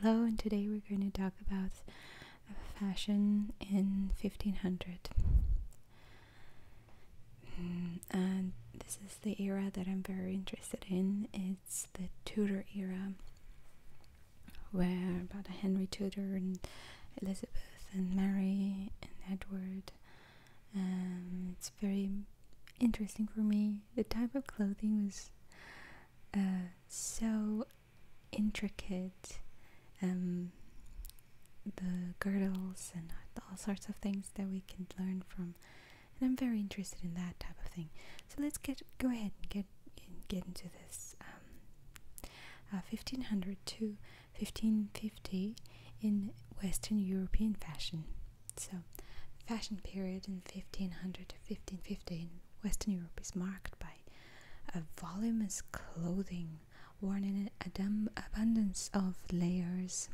Hello, and today we're going to talk about fashion in 1500. Mm, and this is the era that I'm very interested in. It's the Tudor era, where about Henry Tudor and Elizabeth and Mary and Edward. And um, it's very interesting for me. The type of clothing was uh, so intricate. Um, the girdles and all sorts of things that we can learn from, and I'm very interested in that type of thing. So let's get go ahead and get get into this. 1500 um, uh, to 1550 in Western European fashion. So, fashion period in 1500 to 1550 Western Europe is marked by a voluminous clothing worn in an abundance of layers.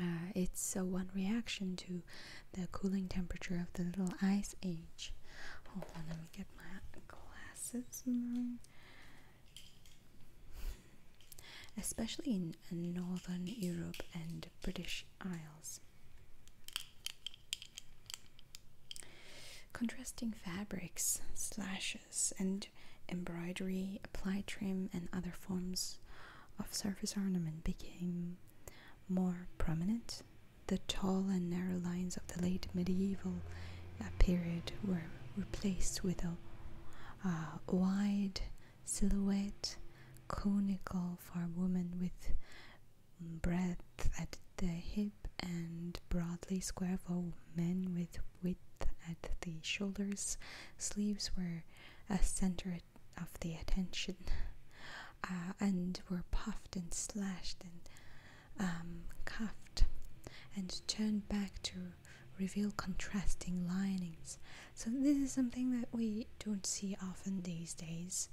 Uh, it's a one reaction to the cooling temperature of the little ice age. Hold on, let me get my glasses. Especially in northern Europe and British Isles. Contrasting fabrics, slashes, and embroidery, applied trim, and other forms of surface ornament became more prominent. The tall and narrow lines of the late medieval uh, period were replaced with a wide silhouette conical for women with Breath at the hip and broadly square for men with width at the shoulders. Sleeves were a center of the attention uh, and were puffed and slashed and um, cuffed and turned back to reveal contrasting linings. So this is something that we don't see often these days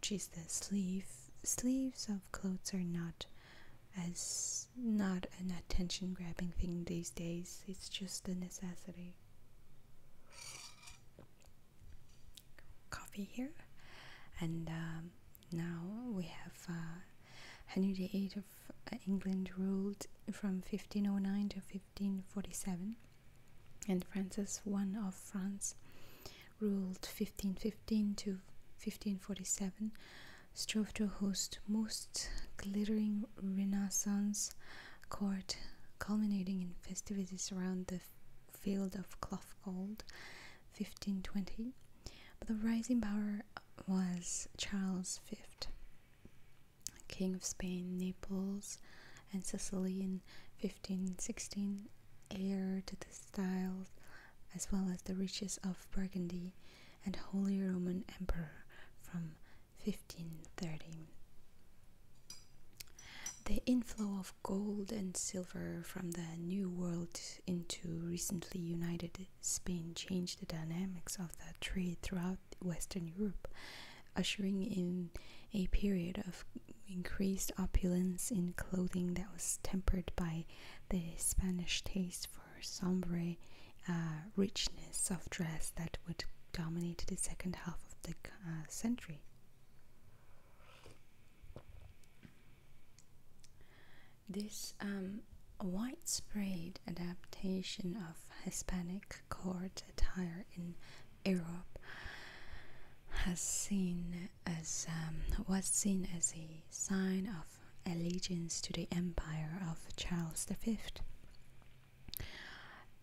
geez, the sleeve sleeves of clothes are not as not an attention grabbing thing these days. It's just a necessity. Coffee here, and um, now we have uh, Henry VIII of uh, England ruled from 1509 to 1547 and Francis I of France ruled 1515 to 1547 strove to host most glittering renaissance court culminating in festivities around the field of cloth gold 1520 but the rising power was charles v king of spain naples and sicily in 1516 heir to the styles as well as the riches of Burgundy and Holy Roman Emperor from 1530. The inflow of gold and silver from the New World into recently united Spain changed the dynamics of the trade throughout Western Europe ushering in a period of increased opulence in clothing that was tempered by the Spanish taste for sombre uh, richness of dress that would dominate the second half of the uh, century. This um, widespread adaptation of Hispanic court attire in Europe has seen as um, was seen as a sign of allegiance to the empire of Charles V.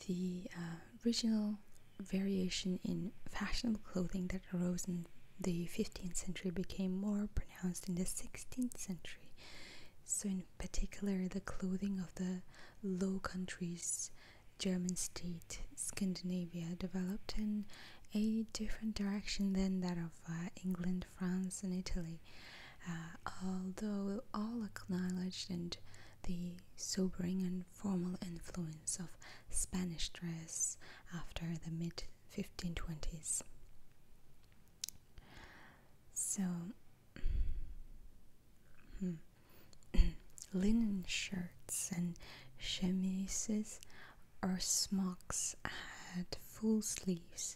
The uh, original variation in fashionable clothing that arose in the 15th century became more pronounced in the 16th century. So, in particular, the clothing of the Low Countries German state Scandinavia developed in a different direction than that of uh, England, France, and Italy. Uh, although all acknowledged and the sobering and formal influence of Spanish dress after the mid 1520s. So, hmm. linen shirts and chemises or smocks had full sleeves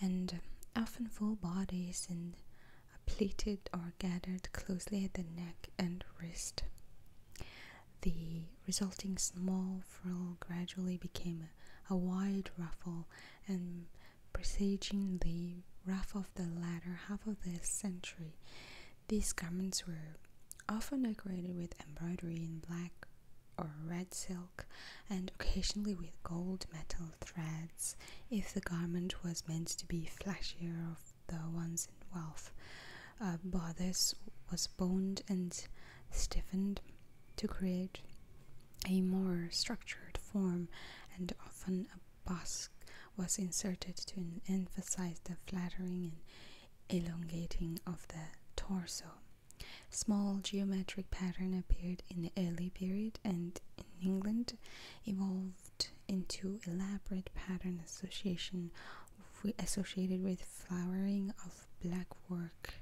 and often full bodies and pleated or gathered closely at the neck and wrist. The resulting small frill gradually became a, wide ruffle and presaging the ruff of the latter half of the century these garments were often decorated with embroidery in black or red silk and occasionally with gold metal threads if the garment was meant to be flashier of the ones in wealth. a uh, Bodice was boned and stiffened to create a more structured form and often a bust was inserted to emphasize the flattering and elongating of the torso. Small geometric pattern appeared in the early period and in England evolved into elaborate pattern association associated with flowering of black work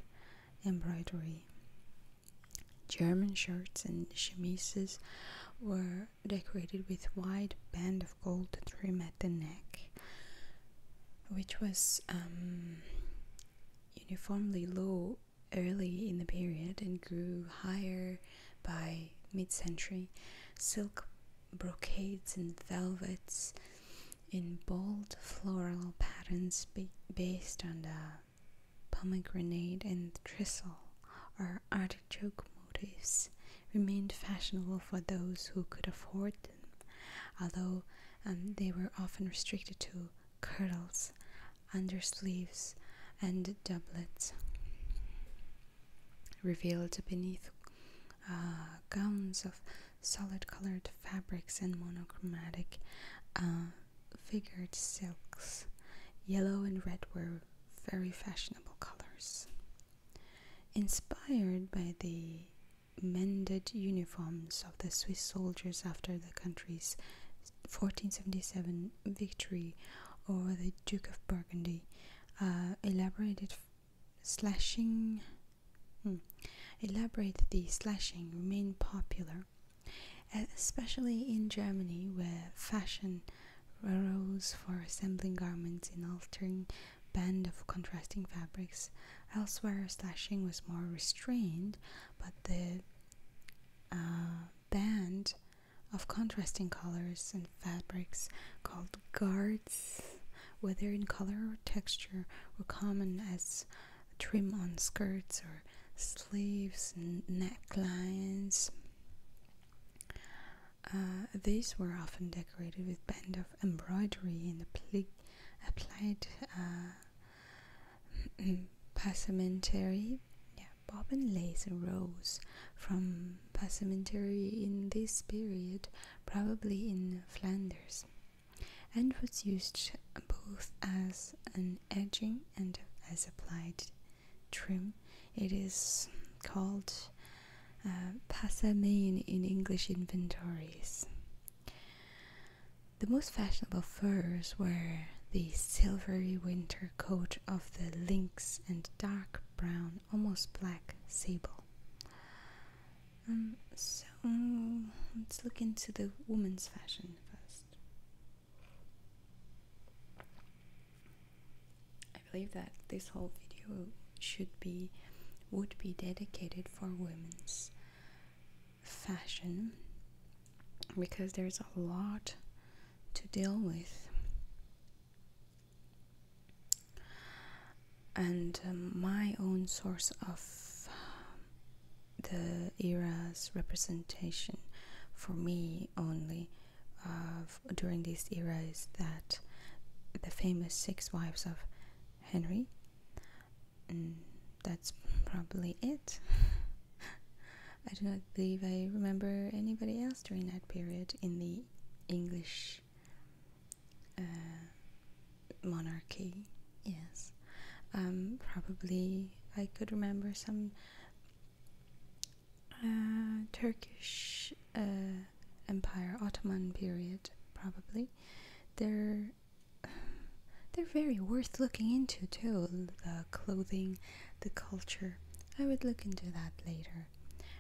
embroidery. German shirts and chemises were decorated with wide band of gold trim at the neck which was um, uniformly low early in the period and grew higher by mid-century silk brocades and velvets in bold floral patterns based on the pomegranate and thistle or artichoke motifs remained fashionable for those who could afford them, although um, they were often restricted to kirtles, undersleeves, and doublets, revealed beneath uh, gowns of solid colored fabrics and monochromatic uh, figured silks. Yellow and red were very fashionable colors. Inspired by the mended uniforms of the Swiss soldiers after the country's 1477 victory over the Duke of Burgundy, uh, elaborated slashing hmm, elaborate the slashing remained popular, especially in Germany, where fashion raros for assembling garments in altering band of contrasting fabrics. Elsewhere, slashing was more restrained, but the uh, band of contrasting colors and fabrics called guards, whether in color or texture, were common as trim on skirts or sleeves, necklines, uh, these were often decorated with bands of embroidery and applied uh, passementerie, bobbin lace arose from passementerie in this period, probably in Flanders, and was used both as an edging and as applied trim it is called uh, Passamane in English inventories. The most fashionable furs were the silvery winter coat of the lynx and dark brown, almost black sable. Um, so let's look into the woman's fashion first. I believe that this whole video should be would be dedicated for women's fashion because there's a lot to deal with and um, my own source of um, the era's representation for me only of during these eras, that the famous six wives of Henry. Mm, that's probably it. I do not believe I remember anybody else during that period in the English uh, monarchy. Yes, um, probably I could remember some uh, Turkish uh, Empire, Ottoman period, probably. They're they're very worth looking into too. The clothing, the culture. I would look into that later,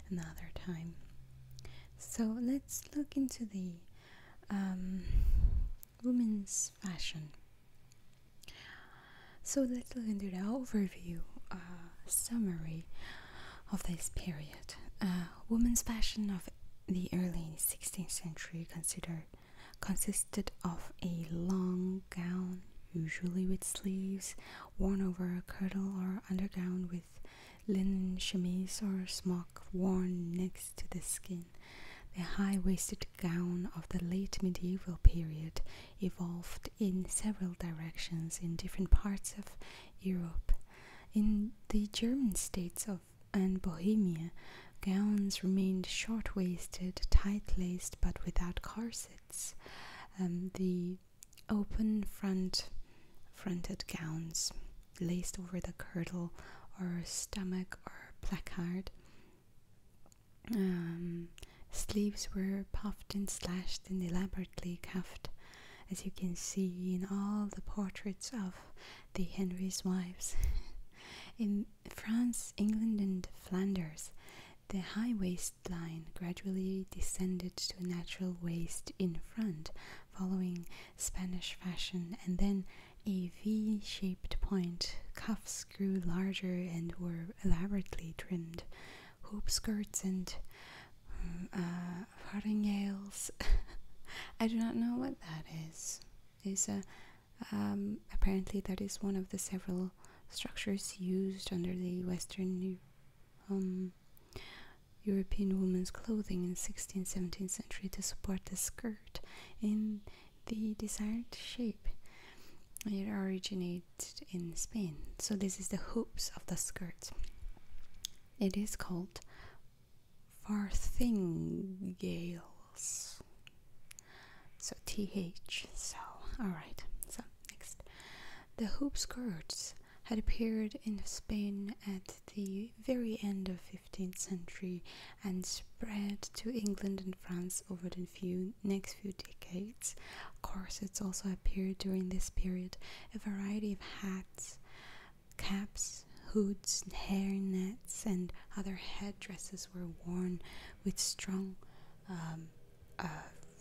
another time. So let's look into the um, women's fashion. So let's look into the overview. Uh, summary of this period. Woman's fashion of the early 16th century considered consisted of a long gown, usually with sleeves, worn over a kirtle or undergown with linen chemise or smock worn next to the skin. The high-waisted gown of the late medieval period evolved in several directions in different parts of Europe. In the German states of and Bohemia, gowns remained short waisted, tight laced, but without corsets. Um, the open fronted gowns laced over the girdle or stomach or placard. Um, sleeves were puffed and slashed and elaborately cuffed as you can see in all the portraits of the Henry's wives. in France, England, and Flanders, the high waistline gradually descended to natural waist in front, following Spanish fashion, and then a V shaped point. Cuffs grew larger and were elaborately trimmed hoop skirts and um, uh, farringales. I do not know what that is. Is um, apparently that is one of the several structures used under the Western um, European women's clothing in 16th, 17th century to support the skirt in the desired shape. It originated in Spain. So this is the hoops of the skirt. It is called farthingales. So th. So alright. So next. The hoop skirts had appeared in Spain at the very end of 15th century and spread to England and France over the next few decades Corsets also appeared during this period, a variety of hats, caps, hoods, hairnets, and other headdresses were worn with strong um, uh,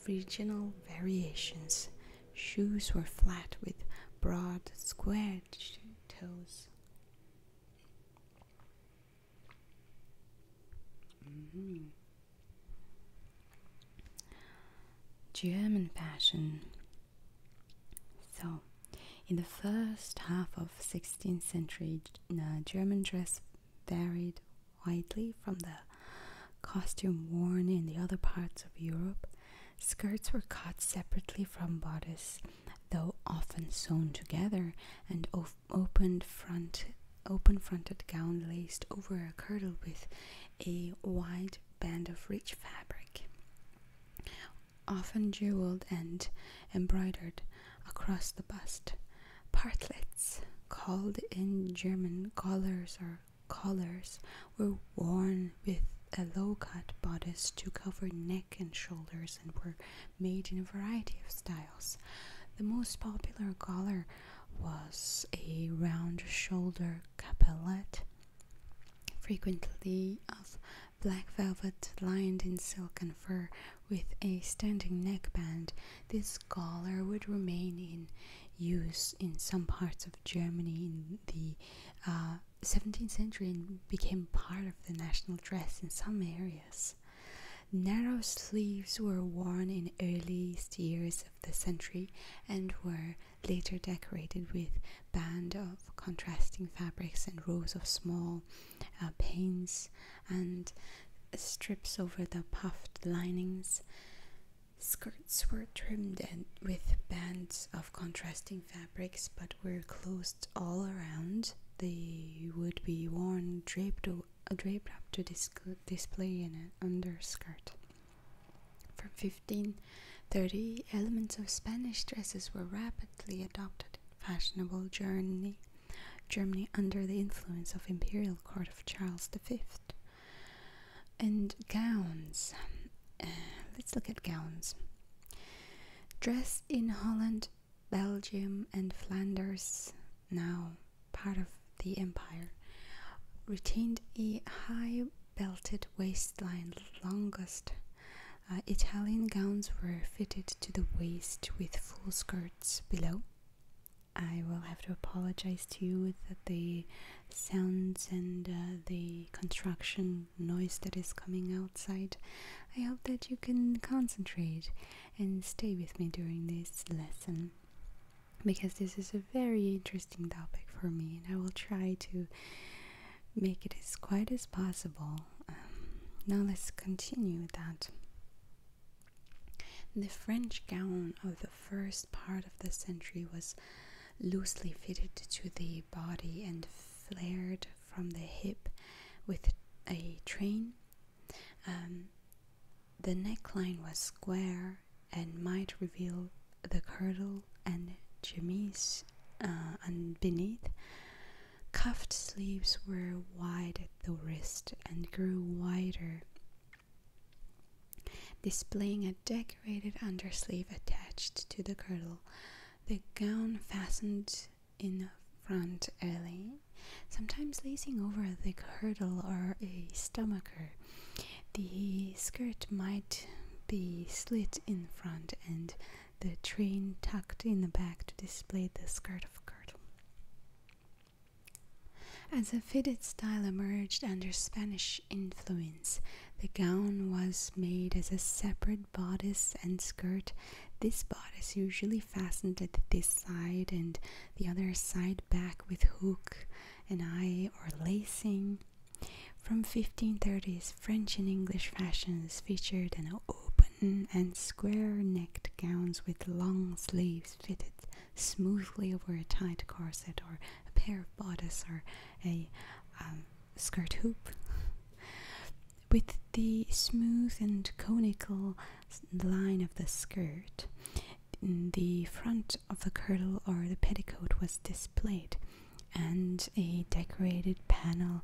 regional variations. Shoes were flat with broad, squared toes. Mm-hmm. German fashion. So, in the first half of 16th century, uh, German dress varied widely from the costume worn in the other parts of Europe. Skirts were cut separately from bodice, though often sewn together, and open front open-fronted gown laced over a kirtle with a wide band of rich fabric, often jeweled and embroidered across the bust. Partlets, called in German collars or collars, were worn with a low cut bodice to cover neck and shoulders and were made in a variety of styles. The most popular collar was a round shoulder Capelet, frequently of black velvet lined in silk and fur with a standing neckband, this collar would remain in use in some parts of Germany in the 17th uh, century and became part of the national dress in some areas. Narrow sleeves were worn in earliest years of the century and were later decorated with band of contrasting fabrics and rows of small uh, and strips over the puffed linings. Skirts were trimmed with bands of contrasting fabrics but were closed all around. They would be worn draped, draped up to display an underskirt. From 1530, elements of Spanish dresses were rapidly adopted in fashionable Germany, Germany under the influence of imperial court of Charles V. And gowns. Uh, let's look at gowns. Dress in Holland, Belgium, and Flanders, now part of the empire, retained a high belted waistline longest. Uh, Italian gowns were fitted to the waist with full skirts below. I will have to apologize to you that the sounds and uh, the construction noise that is coming outside. I hope that you can concentrate and stay with me during this lesson because this is a very interesting topic for me, and I will try to make it as quiet as possible. Um, now, let's continue that. The French gown of the first part of the century was loosely fitted to the body and flared from the hip with a train. Um, the neckline was square and might reveal the girdle and chemise uh, beneath. Cuffed sleeves were wide at the wrist and grew wider, displaying a decorated undersleeve attached to the girdle. The gown fastened in front early, sometimes lacing over the girdle or a stomacher, the skirt might be slit in front and the train tucked in the back to display the skirt of girdle. As a fitted style emerged under Spanish influence, the gown was made as a separate bodice and skirt. This bodice usually fastened at this side and the other side back with hook an eye or lacing. From 1530s, French and English fashions featured an open and square-necked gowns with long sleeves fitted smoothly over a tight corset or a pair of bodice or a um, skirt hoop. With the smooth and conical line of the skirt, in the front of the kirtle or the petticoat was displayed, and a decorated panel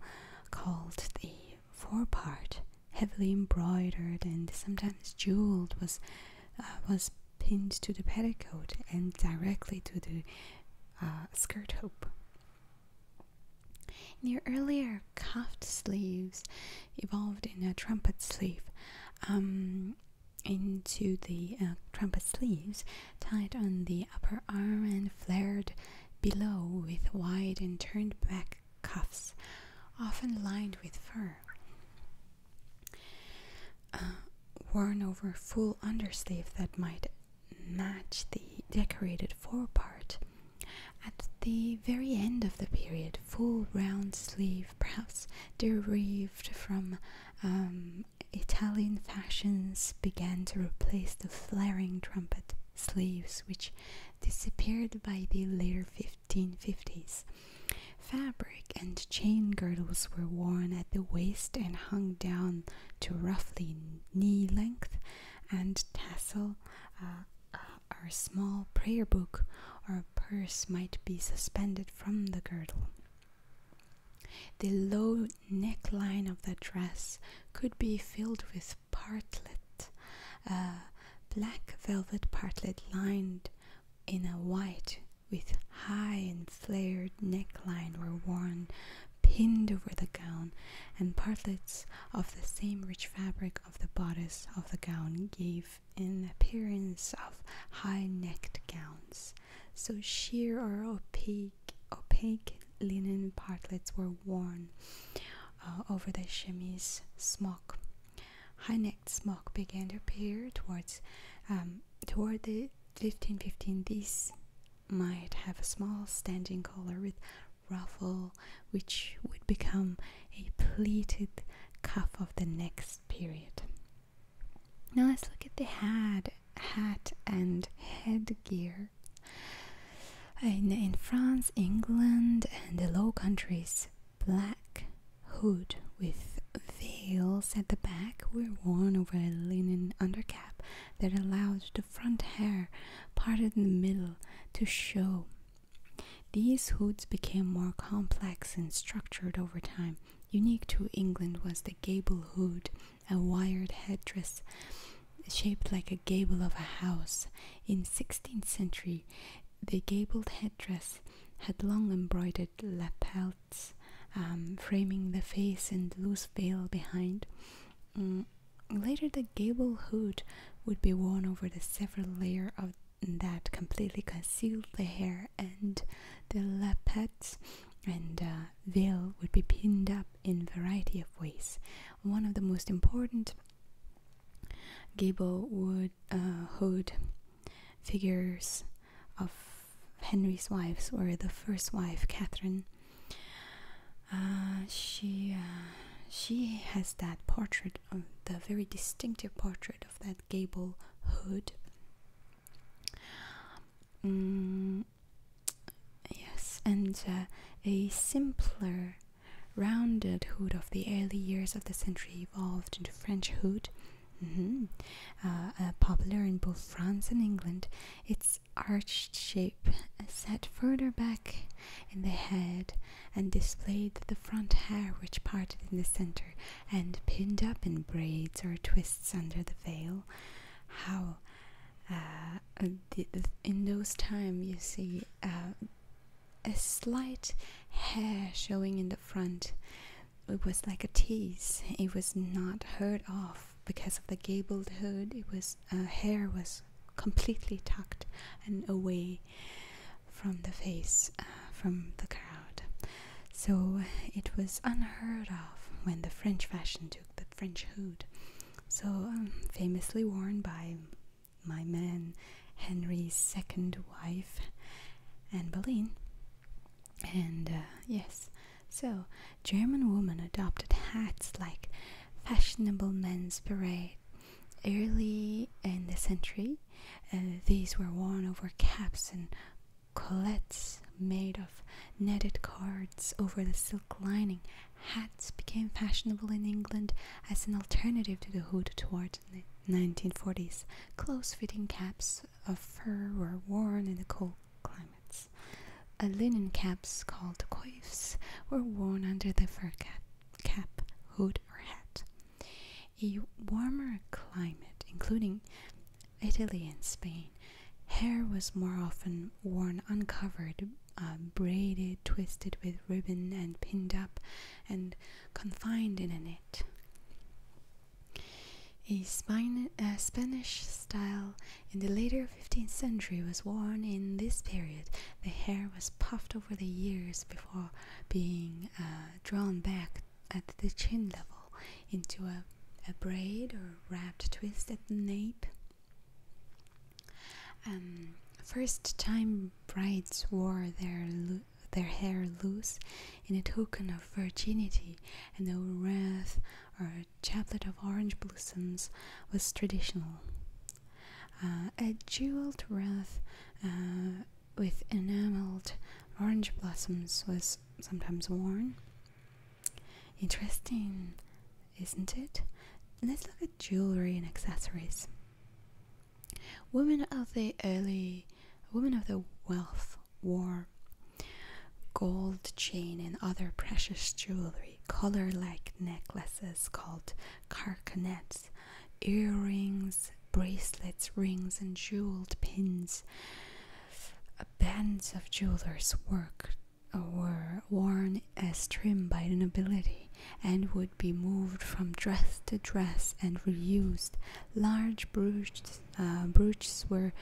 called the forepart, heavily embroidered and sometimes jeweled, was uh, was pinned to the petticoat and directly to the uh, skirt hoop. In the earlier cuffed sleeves evolved in a trumpet sleeve. Um, into the uh, trumpet sleeves, tied on the upper arm and flared below with wide and turned back cuffs, often lined with fur. Uh, worn over full undersleeve that might match the decorated forepart. At the very end of the period, full round sleeve perhaps derived from um, Italian fashions, began to replace the flaring trumpet sleeves, which disappeared by the later 1550s. Fabric and chain girdles were worn at the waist and hung down to roughly knee length, and tassel uh, uh, or small prayer book or purse might be suspended from the girdle. The low neckline of the dress could be filled with partlet, uh, black velvet partlet lined in a white with high and flared neckline were worn pinned over the gown and partlets of the same rich fabric of the bodice of the gown gave in appearance of high-necked gowns, so sheer or opaque, opaque linen partlets were worn uh, over the chemise smock. High-necked smock began to appear towards um, toward the 1515. These might have a small standing collar with ruffle, which would become a pleated cuff of the next period. Now let's look at the hat, hat and headgear. In, in France, England, and the Low Countries, black hood with veils at the back were worn over a linen undercap that allowed the front hair, parted in the middle, to show. These hoods became more complex and structured over time, Unique to England was the gable hood, a wired headdress shaped like a gable of a house. In 16th century, the gabled headdress had long embroidered lapels um, framing the face and loose veil behind. Mm, later, the gable hood would be worn over the several layer of that completely concealed the hair and the lapel and uh, veil would be pinned up in a variety of ways. One of the most important gable would uh, hood figures of Henry's wives were the first wife, Catherine. Uh, she uh, she has that portrait, the very distinctive portrait of that gable hood. Mm, yes, and uh, a simpler rounded hood of the early years of the century evolved into French hood. Mm-hmm. Uh, uh, popular in both France and England, its arched shape set further back in the head and displayed the front hair, which parted in the center, and pinned up in braids or twists under the veil. How uh, in those times you see uh, a slight hair showing in the front. It was like a tease. It was not heard of because of the gabled hood. It was a uh, hair was completely tucked and away from the face, uh, from the crowd. So it was unheard of when the French fashion took the French hood. So um, famously worn by my man Henry's second wife, Anne Boleyn. And uh, yes, so German women adopted hats like fashionable men's parade. Early in the century, uh, these were worn over caps and Collets made of netted cards over the silk lining. Hats became fashionable in England as an alternative to the hood toward the 1940s. Close fitting caps of fur were worn in the cold climates. linen caps called coifs were worn under the fur cap hood, or hat. A warmer climate, including Italy and Spain, hair was more often worn uncovered, uh, braided, twisted with ribbon, and pinned up and confined in a net. A, Spanish style in the later 15th century was worn in this period. The hair was puffed over the ears before being uh, drawn back at the chin level into a, a braid or wrapped twist at the nape. Um, first time brides wore their their hair loose in a token of virginity, and a wreath or chaplet of orange blossoms was traditional. Uh, a jeweled wreath uh, with enameled orange blossoms was sometimes worn. Interesting, isn't it? Let's look at jewelry and accessories. Women of the early, women of the wealth wore gold chain and other precious jewelry, collar like necklaces called carcanets, earrings, bracelets, rings, and jeweled pins bands of jewelers worked uh, were worn as trim by the nobility and would be moved from dress to dress and reused. Large uh, brooches, were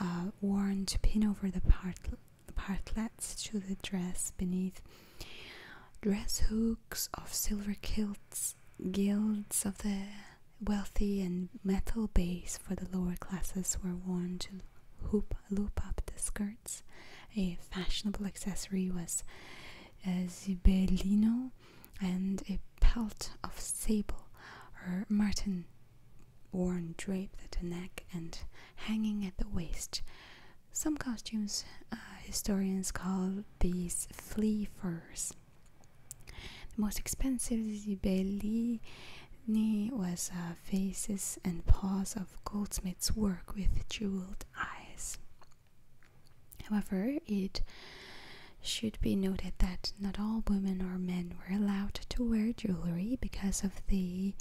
uh, worn to pin over the partlets to the dress beneath. Dress hooks of silver kilts guilds of the wealthy and metal base for the lower classes were worn to hoop, loop up the skirts. A fashionable accessory was a zibellino and a pelt of sable or marten worn draped at the neck and hanging at the waist. Some costumes uh, historians call these flea furs. The most expensive zibellini was uh, faces and paws of goldsmiths' work with jeweled eyes. However, it should be noted that not all women or men were allowed to wear jewelry because of the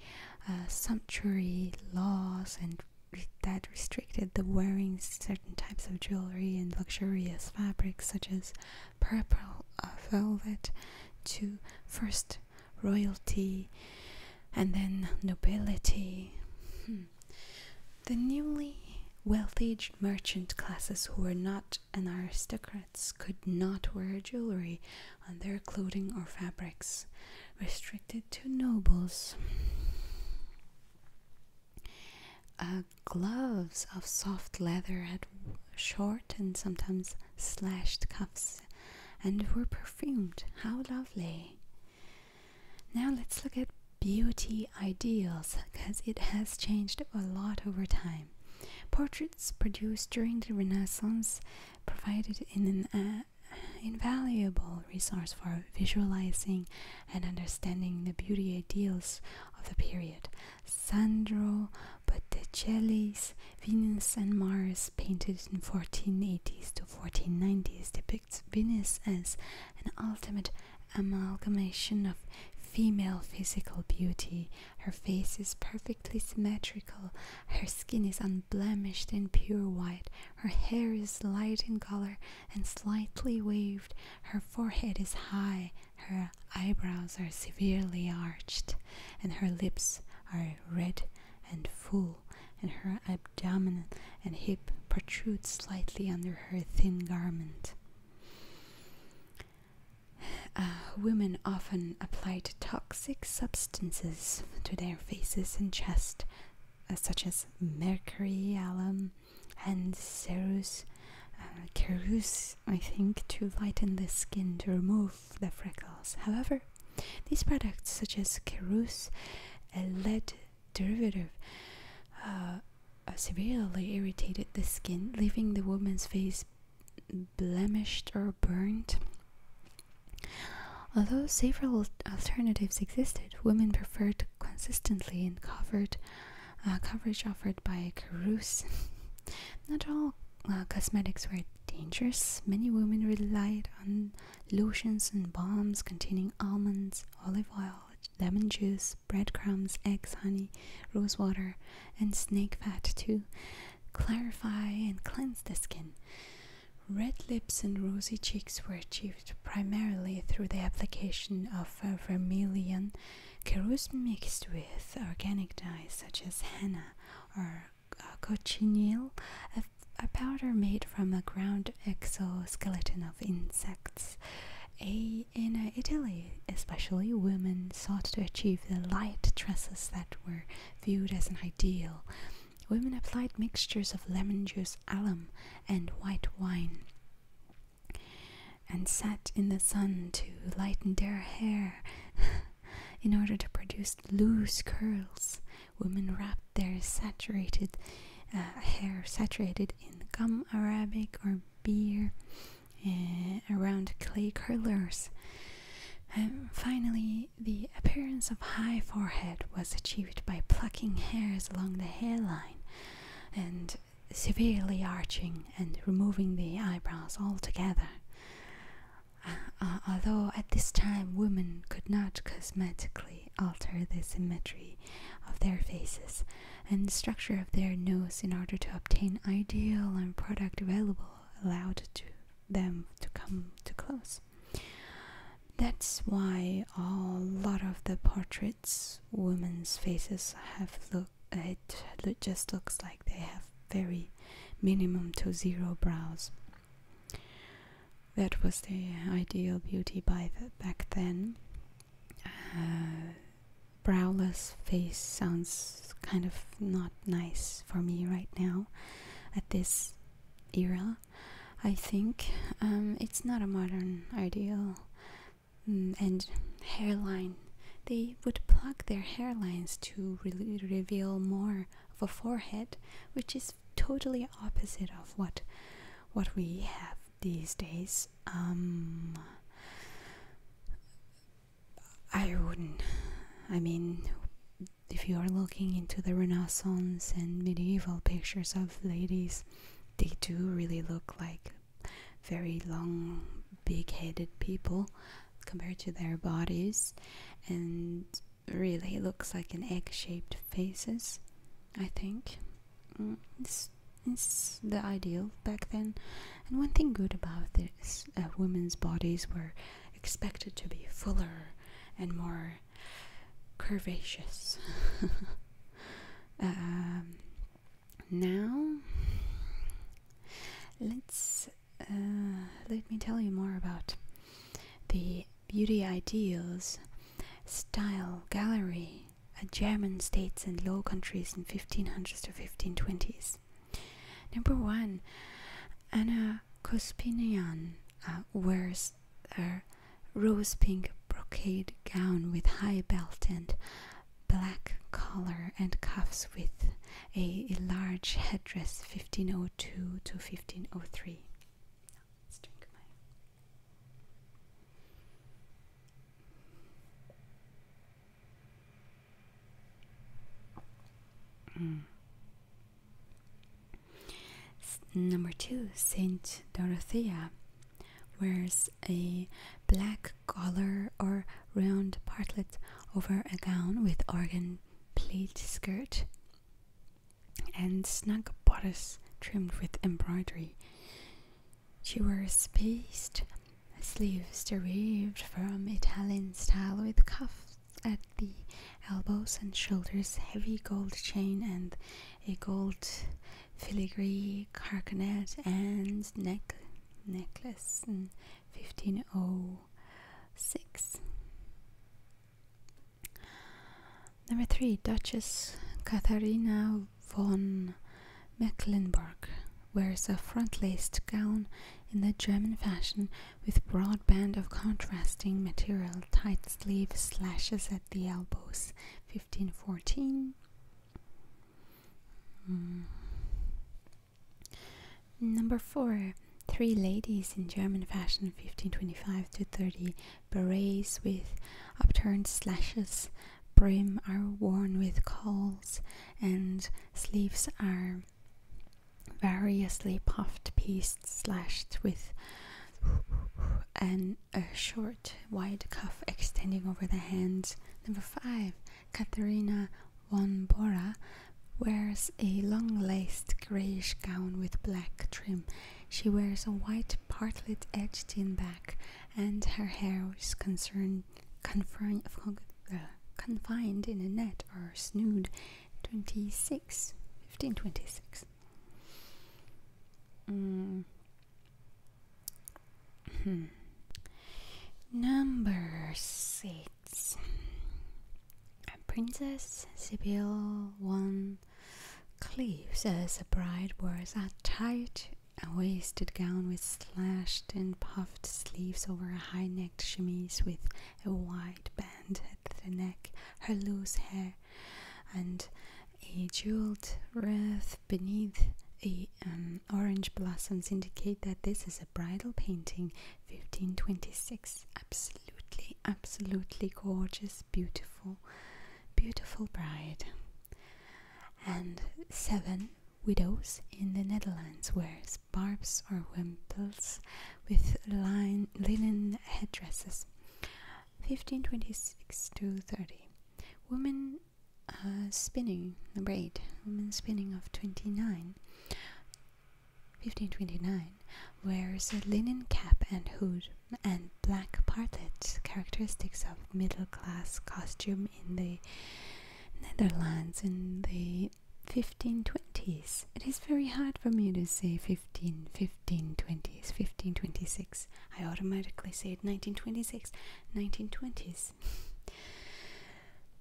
uh, sumptuary laws and that restricted the wearing certain types of jewelry and luxurious fabrics such as purple uh, velvet to first royalty and then nobility. Hmm. The newly wealthy merchant classes who were not an aristocrats could not wear jewelry on their clothing or fabrics, restricted to nobles. Uh, gloves of soft leather had short and sometimes slashed cuffs and were perfumed. How lovely! Now let's look at beauty ideals because it has changed a lot over time. Portraits produced during the Renaissance provided an uh, invaluable resource for visualizing and understanding the beauty ideals of the period. Sandro Botticelli's Venus and Mars, painted in 1480s to 1490s, depicts Venus as an ultimate amalgamation of female physical beauty. Her face is perfectly symmetrical, her skin is unblemished and pure white, her hair is light in color and slightly waved, her forehead is high her eyebrows are severely arched, and her lips are red and full, and her abdomen and hip protrude slightly under her thin garment. Uh, women often applied toxic substances to their faces and chest, uh, such as mercury, alum, and cerus uh, I think to lighten the skin to remove the freckles. However, these products such as cerus, a lead derivative, uh, uh, severely irritated the skin, leaving the woman's face blemished or burnt. Although several alternatives existed, women preferred consistently and covered uh, coverage offered by Carus. Not all uh, cosmetics were dangerous. Many women relied on lotions and balms containing almonds, olive oil, lemon juice, breadcrumbs, eggs, honey, rose water, and snake fat to clarify and cleanse the skin. Red lips and rosy cheeks were achieved primarily through the application of uh, vermilion Kerus mixed with organic dyes such as henna or uh, cochineal, a, powder made from a ground exoskeleton of insects. in uh, Italy, especially, women sought to achieve the light tresses that were viewed as an ideal. Women applied mixtures of lemon juice, alum, and white wine and sat in the sun to lighten their hair. in order to produce loose curls, women wrapped their saturated uh, hair, saturated in gum arabic or beer, eh, around clay curlers. And um, finally, the appearance of high forehead was achieved by plucking hairs along the hairline and severely arching and removing the eyebrows altogether. Uh, uh, although at this time women could not cosmetically alter the symmetry of their faces and structure of their nose in order to obtain ideal and product available allowed to them to come to close. That's why a lot of the portraits women's faces have look. It just looks like they have very minimum to zero brows. That was the ideal beauty back then. Uh, browless face sounds kind of not nice for me right now at this era. I think um, it's not a modern ideal. Mm, and hairline. They would pluck their hairlines to reveal more of a forehead, which is totally opposite of what what we have these days. Um, I wouldn't. I mean, if you are looking into the Renaissance and medieval pictures of ladies, they do really look like very long, big headed people compared to their bodies, and really looks like an egg shaped faces, I think. Mm, it's, the ideal back then. And one thing good about this uh, women's bodies were expected to be fuller and more curvaceous. Um, now, let's uh, let me tell you more about the Beauty Ideals Style Gallery at German states and Low Countries in 1500s to 1520s. Number one, Anna Kospinian uh, wears a rose pink brocade gown with high belt and black collar and cuffs with a, large headdress 1502 to 1503. Mm. Number two, Saint Dorothea wears a black collar or round partlet over a gown with organ pleated skirt and snug bodice trimmed with embroidery. She wears spaced sleeves derived from Italian style with cuffs at the elbows and shoulders, heavy gold chain and a gold filigree carcanet and neck necklace in 1506. Number three, Duchess Katharina von Mecklenburg wears a front-laced gown in the German fashion with broad band of contrasting material, tight sleeve slashes at the elbows, 1514. Mm. Number four, three ladies in German fashion 1525 to 30. Berets with upturned slashes, brim are worn with cols, and sleeves are variously puffed, pieced, slashed with and a short wide cuff extending over the hands. Number five, Katerina von Bora wears a long laced greyish gown with black trim. She wears a white partlet edged in back, and her hair is concerned, uh, confined in a net or snood. 26, 1526. Mm. Hmm. Number six. Princess Sibyl One cleaves as a bride wears a tight waisted gown with slashed and puffed sleeves over a high necked chemise with a wide band at the neck, her loose hair, and a jeweled wreath beneath the um, orange blossoms indicate that this is a bridal painting 1526 absolutely absolutely gorgeous beautiful beautiful bride and seven widows in the netherlands wear scarves or wimples with line, linen headdresses 1526 to 30 women uh, spinning, number eight woman spinning of 29, 1529, wears a linen cap and hood and black partlets, characteristics of middle class costume in the Netherlands in the 1520s. It is very hard for me to say 15, 1520s, 1526. I automatically say 1926, 1920s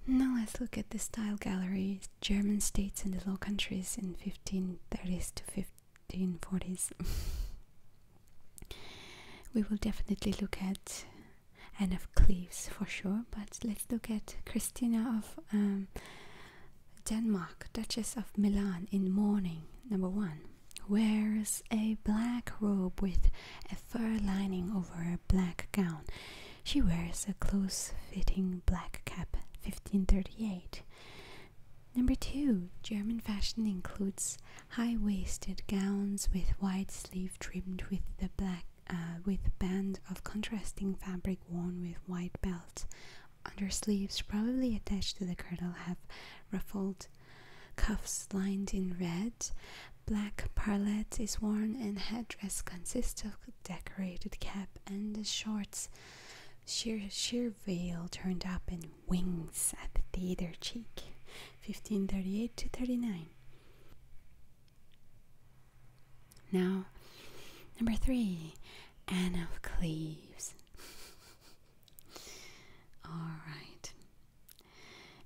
now let's look at the style gallery, German states and the Low Countries in 1530s to 1540s. we will definitely look at Anne of Cleves for sure, but let's look at Christina of um, Denmark, Duchess of Milan in mourning, number one. Where a black robe with a fur lining over a black gown. She wears a close fitting black cap, 1538. Number two, German fashion includes high waisted gowns with wide sleeves trimmed with the black uh, with band of contrasting fabric worn with wide belt. Undersleeves, probably attached to the girdle, have ruffled cuffs lined in red, Black parlet is worn and headdress consists of decorated cap and shorts. Sheer sheer veil turned up in wings at the theater cheek. 1538 to 39. Now, number three, Anne of Cleves. All right.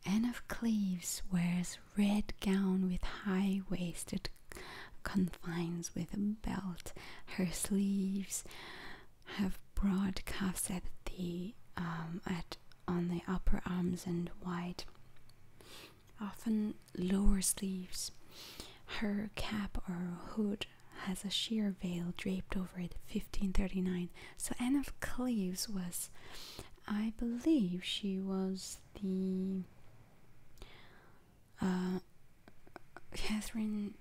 Anne of Cleves wears red gown with high-waisted confines with a belt. Her sleeves have broad cuffs at the um, at on the upper arms and wide, often lower sleeves. Her cap or hood has a sheer veil draped over it. 1539. So Anne of Cleves was I believe she was the uh, Catherine.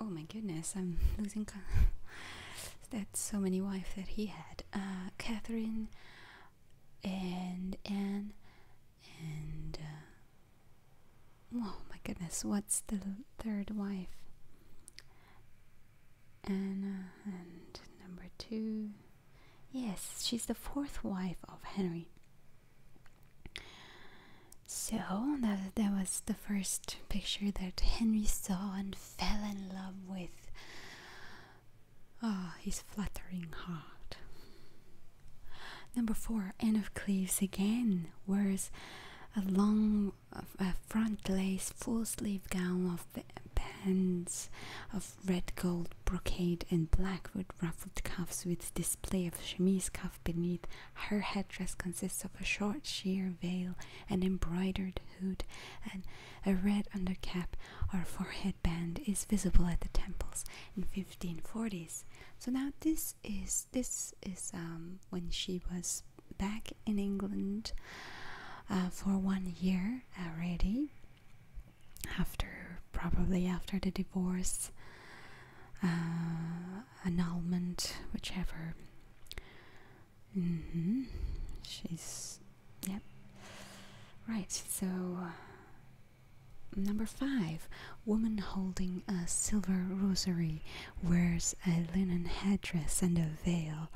Oh my goodness, I'm losing. That's so many wives that he had. Uh, Catherine and Anne and. Uh, oh my goodness, what's the third wife? Anna and number two. Yes, she's the fourth wife of Henry. So that that was the first picture that Henry saw and fell in love with. Ah, his fluttering heart. Number four, Anne of Cleves again wears a long uh, front lace full sleeve gown of bands of red gold brocade and black with ruffled cuffs with display of chemise cuff beneath. Her headdress consists of a short sheer veil, an embroidered hood, and a red undercap or forehead band is visible at the temples in 1540s. So now this is this is um when she was back in England uh, for one year already after probably after the divorce uh, annulment whichever mm -hmm. she's yep right so uh, number five woman holding a silver rosary wears a linen headdress and a veil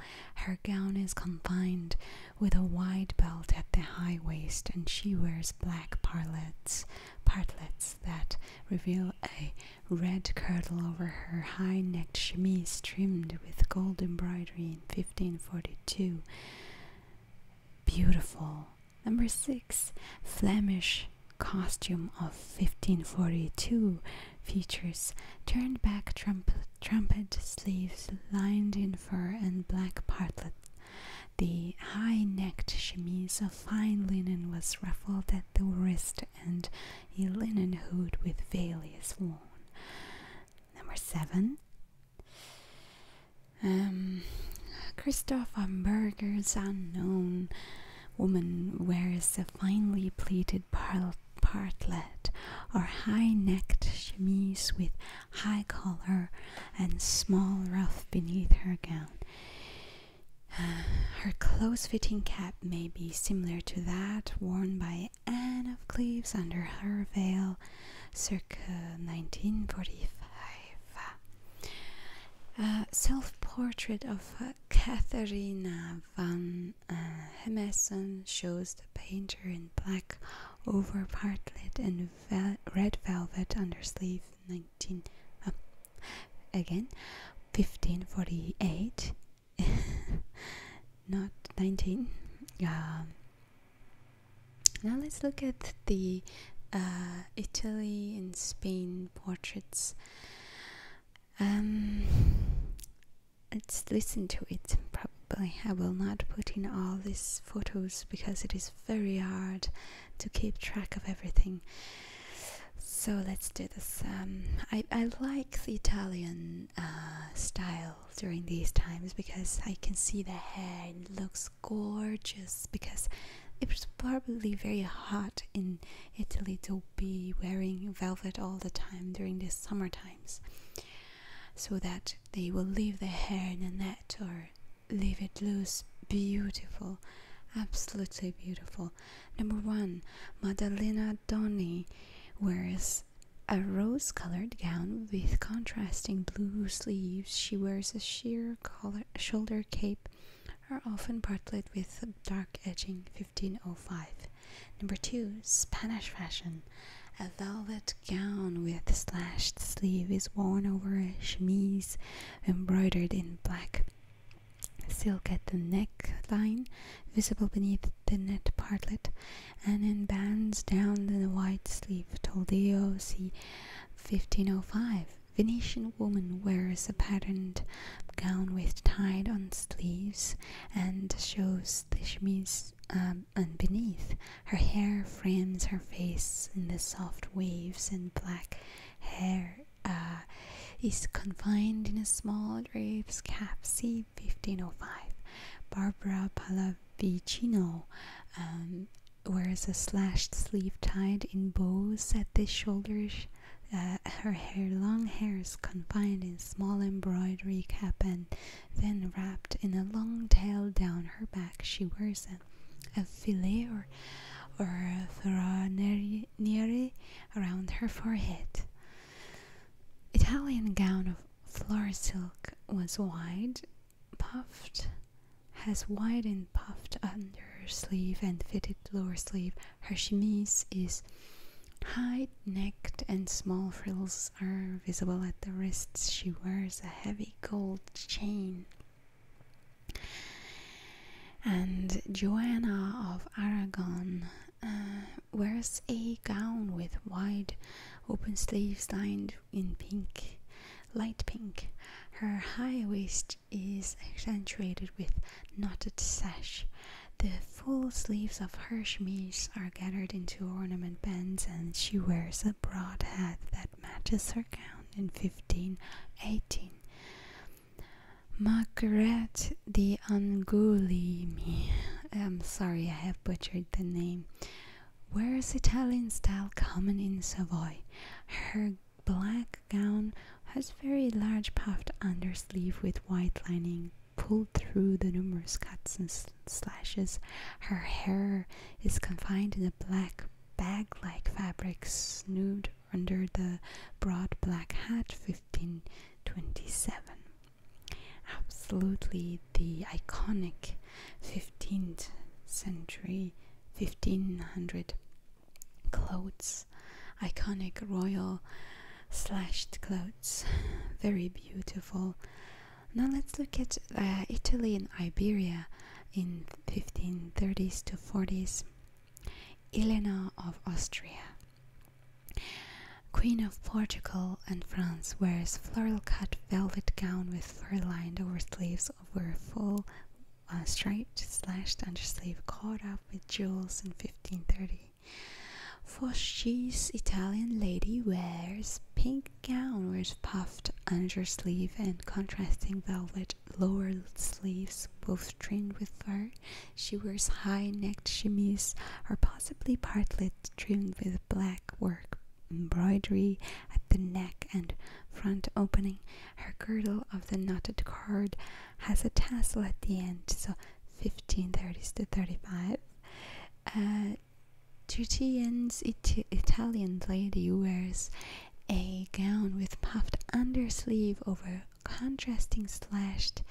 her gown is confined with a wide belt at the high waist, and she wears black parlets, partlets that reveal a red kirtle over her high-necked chemise trimmed with gold embroidery in 1542. Beautiful. Number six, Flemish costume of 1542 features turned back trumpet, sleeves lined in fur and black partlet. The high necked chemise of fine linen was ruffled at the wrist, and a linen hood with veil worn. Number seven. Um, Christopher Berger's unknown woman wears a finely pleated par partlet or high-necked chemise with high collar and small ruff beneath her gown. her close-fitting cap may be similar to that worn by Anne of Cleves under her veil circa 1945. A self-portrait of uh, Katharina van uh, shows the painter in black black over partlet and red velvet undersleeve. 19 uh, again 1548 not 19 um, now let's look at the uh, Italy and Spain portraits um, Let's listen to it. Probably I will not put in all these photos because it is very hard to keep track of everything. So let's do this. Um, I, I like the Italian uh, style during these times because I can see the hair, it looks gorgeous because it was probably very hot in Italy to be wearing velvet all the time during these summer times so that they will leave their hair in a net or leave it loose. Beautiful, absolutely beautiful. Number one, Madalena Doni wears a rose colored gown with contrasting blue sleeves. She wears a sheer collar, shoulder cape, are often partlet with dark edging 1505. Number two, Spanish fashion. A velvet gown with slashed sleeve is worn over a chemise embroidered in black. Silk at the neckline, visible beneath the net partlet, and in bands down the wide sleeve. Toledo, c. 1505. Venetian woman wears a patterned gown with tied on sleeves and shows the chemise um, and beneath. Her hair frames her face in the soft waves, and black hair uh, is confined in a small drapes cap See 1505. Barbara Pallavicino um, wears a slashed sleeve tied in bows at the shoulders. Uh, her hair, long hair is confined in small embroidery cap and then, wrapped in a long tail down her back, she wears a, a filet or, a ferraniere around her forehead. Italian gown of floral silk was wide, puffed, has wide and puffed under sleeve and fitted lower sleeve. Her chemise is high necked and small frills are visible at the wrists. She wears a heavy gold chain. And Joanna of Aragon uh, wears a gown with wide open sleeves lined in pink, light pink. Her high waist is accentuated with knotted sash. The Full sleeves of her chemise are gathered into ornament bands, and she wears a broad hat that matches her gown in 1518. Margaret de Angulimi, I'm sorry I have butchered the name, wears Italian style common in Savoy. Her black gown has very large puffed undersleeve with white lining pulled through the numerous cuts and slashes. Her hair is confined in a black bag like fabric snood under the broad black hat 1527. Absolutely the iconic 15th century 1500 clothes, iconic royal slashed clothes, very beautiful now let's look at uh, Italy and Iberia in 1530s to 40s. Elena of Austria, Queen of Portugal and France, wears floral-cut velvet gown with fur-lined oversleeves over a full uh, striped slashed undersleeve caught up with jewels in 1530. For she's Italian lady wears pink gown with puffed undersleeve and contrasting velvet lower sleeves, both trimmed with fur. She wears high-necked chemise, or possibly partlet, trimmed with black work embroidery at the neck and front opening. Her girdle of the knotted cord has a tassel at the end, so 1530s to 35. Uh, Tuccian's It Italian lady wears a gown with puffed undersleeve over contrasting slashed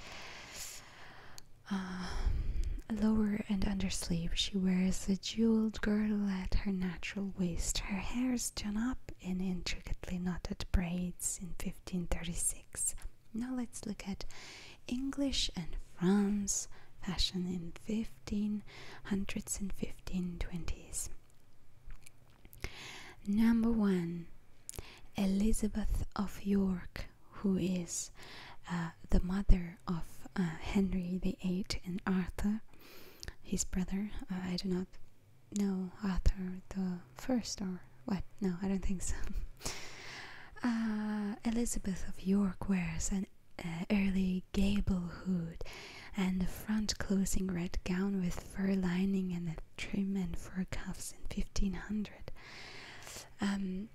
um, lower and undersleeve. She wears a jeweled girdle at her natural waist. Her hair is done up in intricately knotted braids in 1536. Now let's look at English and France fashion in 1500s and 1520s. Number one, Elizabeth of York, who is uh, the mother of uh, Henry the Eighth and Arthur, his brother. Uh, I do not know Arthur the First or what? No, I don't think so. Uh, Elizabeth of York wears an uh, early gable hood and a front-closing red gown with fur lining and trim and fur cuffs in 1500. Um,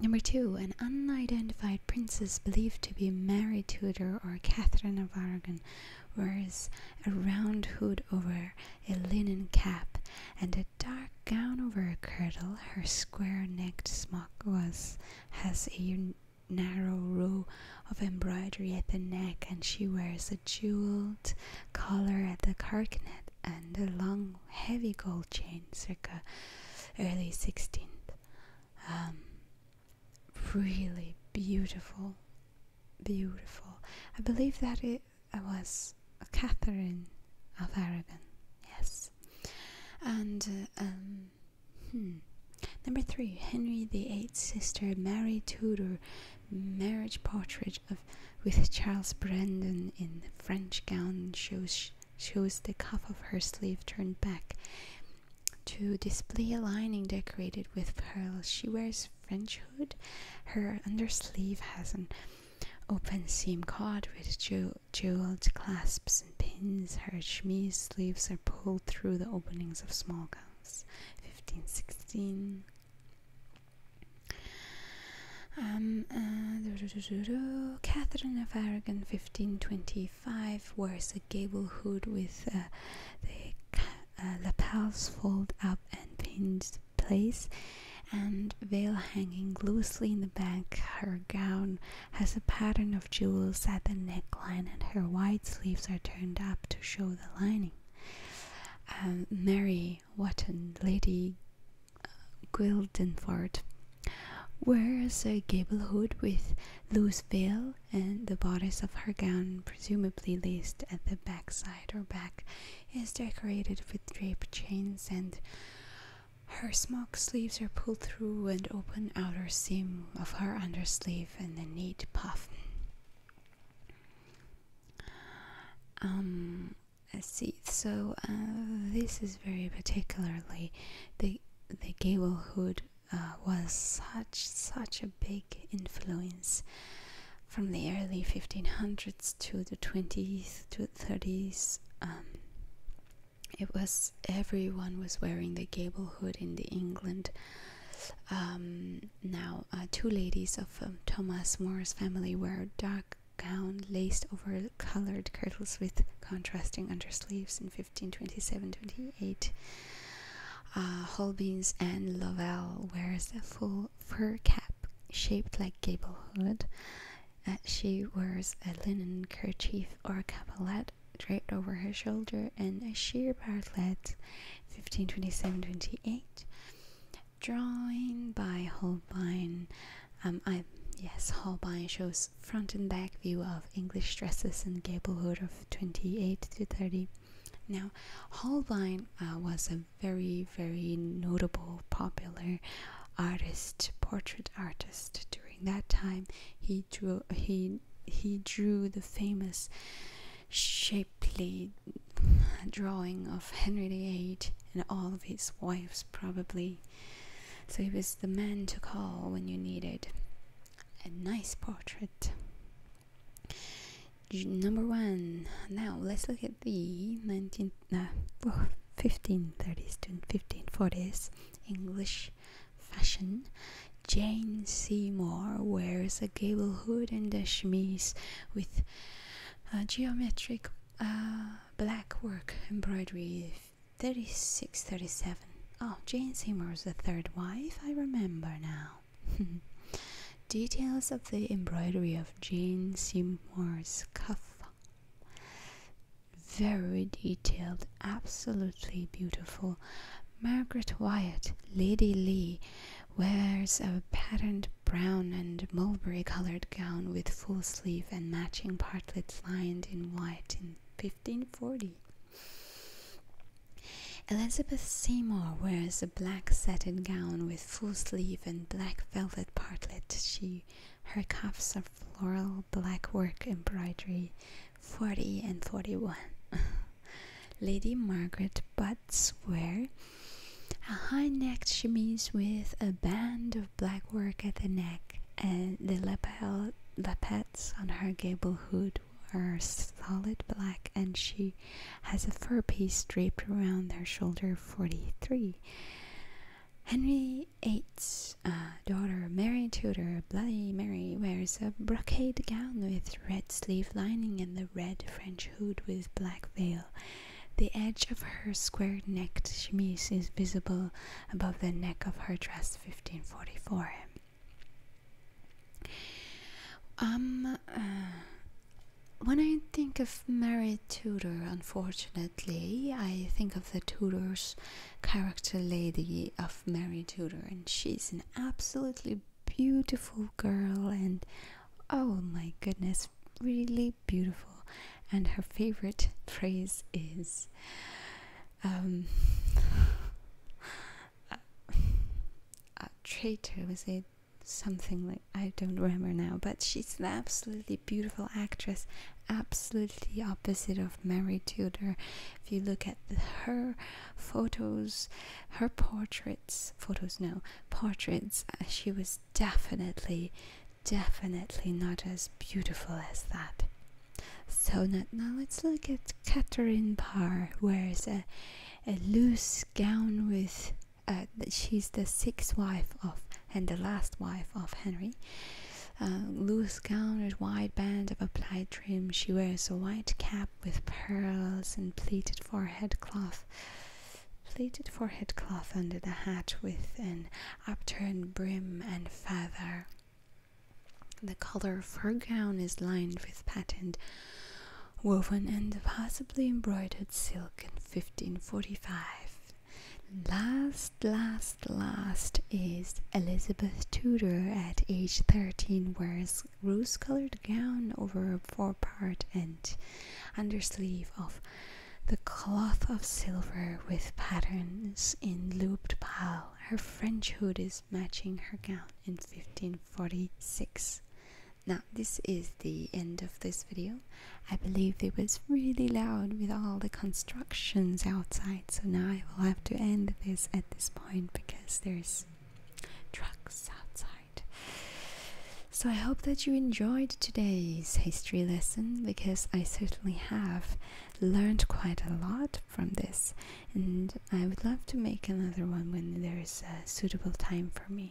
number two, an unidentified princess believed to be Mary Tudor or Catherine of Aragon wears a round hood over a linen cap and a dark gown over a kirtle. her square-necked smock was has a narrow row of embroidery at the neck, and she wears a jeweled collar at the carcanet and a long, heavy gold chain, circa early 16th. Um, really beautiful, beautiful. I believe that it was Catherine of Aragon. Yes. And uh, um, hmm. number three, Henry VIII's sister Mary Tudor, marriage portrait of with Charles Brandon in French gown shows shows the cuff of her sleeve turned back. To display a lining decorated with pearls, she wears French hood. Her undersleeve has an open seam card with jo jeweled clasps and pins, her chemise sleeves are pulled through the openings of small gowns. 1516. Um, uh, Catherine of Aragon, 1525, wears a gable hood with uh, the uh, lapels folded up and pinned in place and veil hanging loosely in the back. Her gown has a pattern of jewels at the neckline, and her wide sleeves are turned up to show the lining. Um, Mary Wotton, Lady uh, Guildenford, wears a gable hood with loose veil and the bodice of her gown, presumably laced at the back side or back, is decorated with draped chains and her smock sleeves are pulled through and open outer seam of her undersleeve and a neat puff. Um, let see. So uh, this is very particularly the the gable hood uh, was such such a big influence from the early 1500s to the 20s to 30s it was everyone was wearing the gable hood in the England. Um, now, uh, two ladies of um, Thomas More's family wear dark gown laced over colored kirtles with contrasting undersleeves in 1527-28. Uh, Holbein's Anne Lovell wears a full fur cap shaped like gable hood uh, she wears a linen kerchief or a capalet draped over her shoulder and a sheer partlet 1527-28 drawing by Holbein um, I, yes Holbein shows front and back view of English dresses in gablehood of 28 to 30 now Holbein uh, was a very very notable popular artist, portrait artist. During that time, he drew he he drew the famous shapely drawing of Henry VIII and all of his wives, probably. So he was the man to call when you needed a nice portrait. Number one. Now let's look at the 19th. Uh, 1530s to 1540s English fashion, Jane Seymour wears a gable hood and a chemise with uh, geometric black work embroidery 3637. Oh, Jane Seymour's the third wife, I remember now. Details of the embroidery of Jane Seymour's cuff very detailed, absolutely beautiful. Margaret Wyatt, Lady Lee, wears a patterned brown and mulberry colored gown with full sleeve and matching partlets lined in white in 1540. Elizabeth Seymour wears a black satin gown with full sleeve and black velvet partlet. She her cuffs are floral blackwork embroidery 40 and 41. Lady Margaret Butts wear a high-necked chemise with a band of blackwork at the neck and the lapel lappets on her gable hood are solid black and she has a fur piece draped around her shoulder 43. Henry eight, daughter Mary Tudor, Bloody Mary, wears a brocade gown with red sleeve lining and the red French hood with black veil. The edge of her square necked chemise is visible above the neck of her dress 1544. Um, uh, when I think of Mary Tudor, unfortunately, I think of the Tudors character lady of Mary Tudor, and she's an absolutely beautiful girl, and oh my goodness, really beautiful. And her favorite phrase is, um, a, a traitor, was it? Something like I don't remember now, but she's an absolutely beautiful actress, absolutely opposite of Mary Tudor. If you look at her photos, her portraits, photos no, portraits, uh, she was definitely, definitely not as beautiful as that. So now, now let's look at Catherine Parr, wears a, a loose gown with, uh, she's the sixth wife of and the last wife of Henry. Uh, loose gown with wide band of applied trim, she wears a white cap with pearls and pleated forehead cloth. Pleated forehead cloth under the hat with an upturned brim and feather. The color of her gown is lined with patterned, woven, and possibly embroidered silk in 1545 Last, last, last is Elizabeth Tudor at age 13 wears rose colored gown over a part and undersleeve of the cloth of silver with patterns in looped pile. Her French hood is matching her gown in 1546. Now, this is the end of this video. I believe it was really loud with all the constructions outside, so now I will have to end this at this point because there's trucks outside. So I hope that you enjoyed today's history lesson because I certainly have learned quite a lot from this, and I would love to make another one when there is a suitable time for me.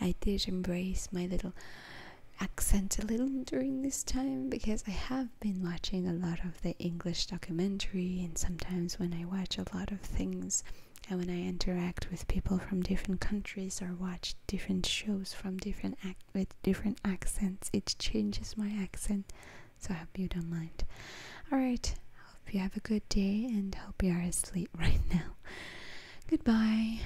I did embrace my little accent a little during this time because I have been watching a lot of the English documentary, and sometimes when I watch a lot of things and when I interact with people from different countries or watch different shows from different act with different accents, it changes my accent. So I hope you don't mind. All right, hope you have a good day and hope you are asleep right now. Goodbye.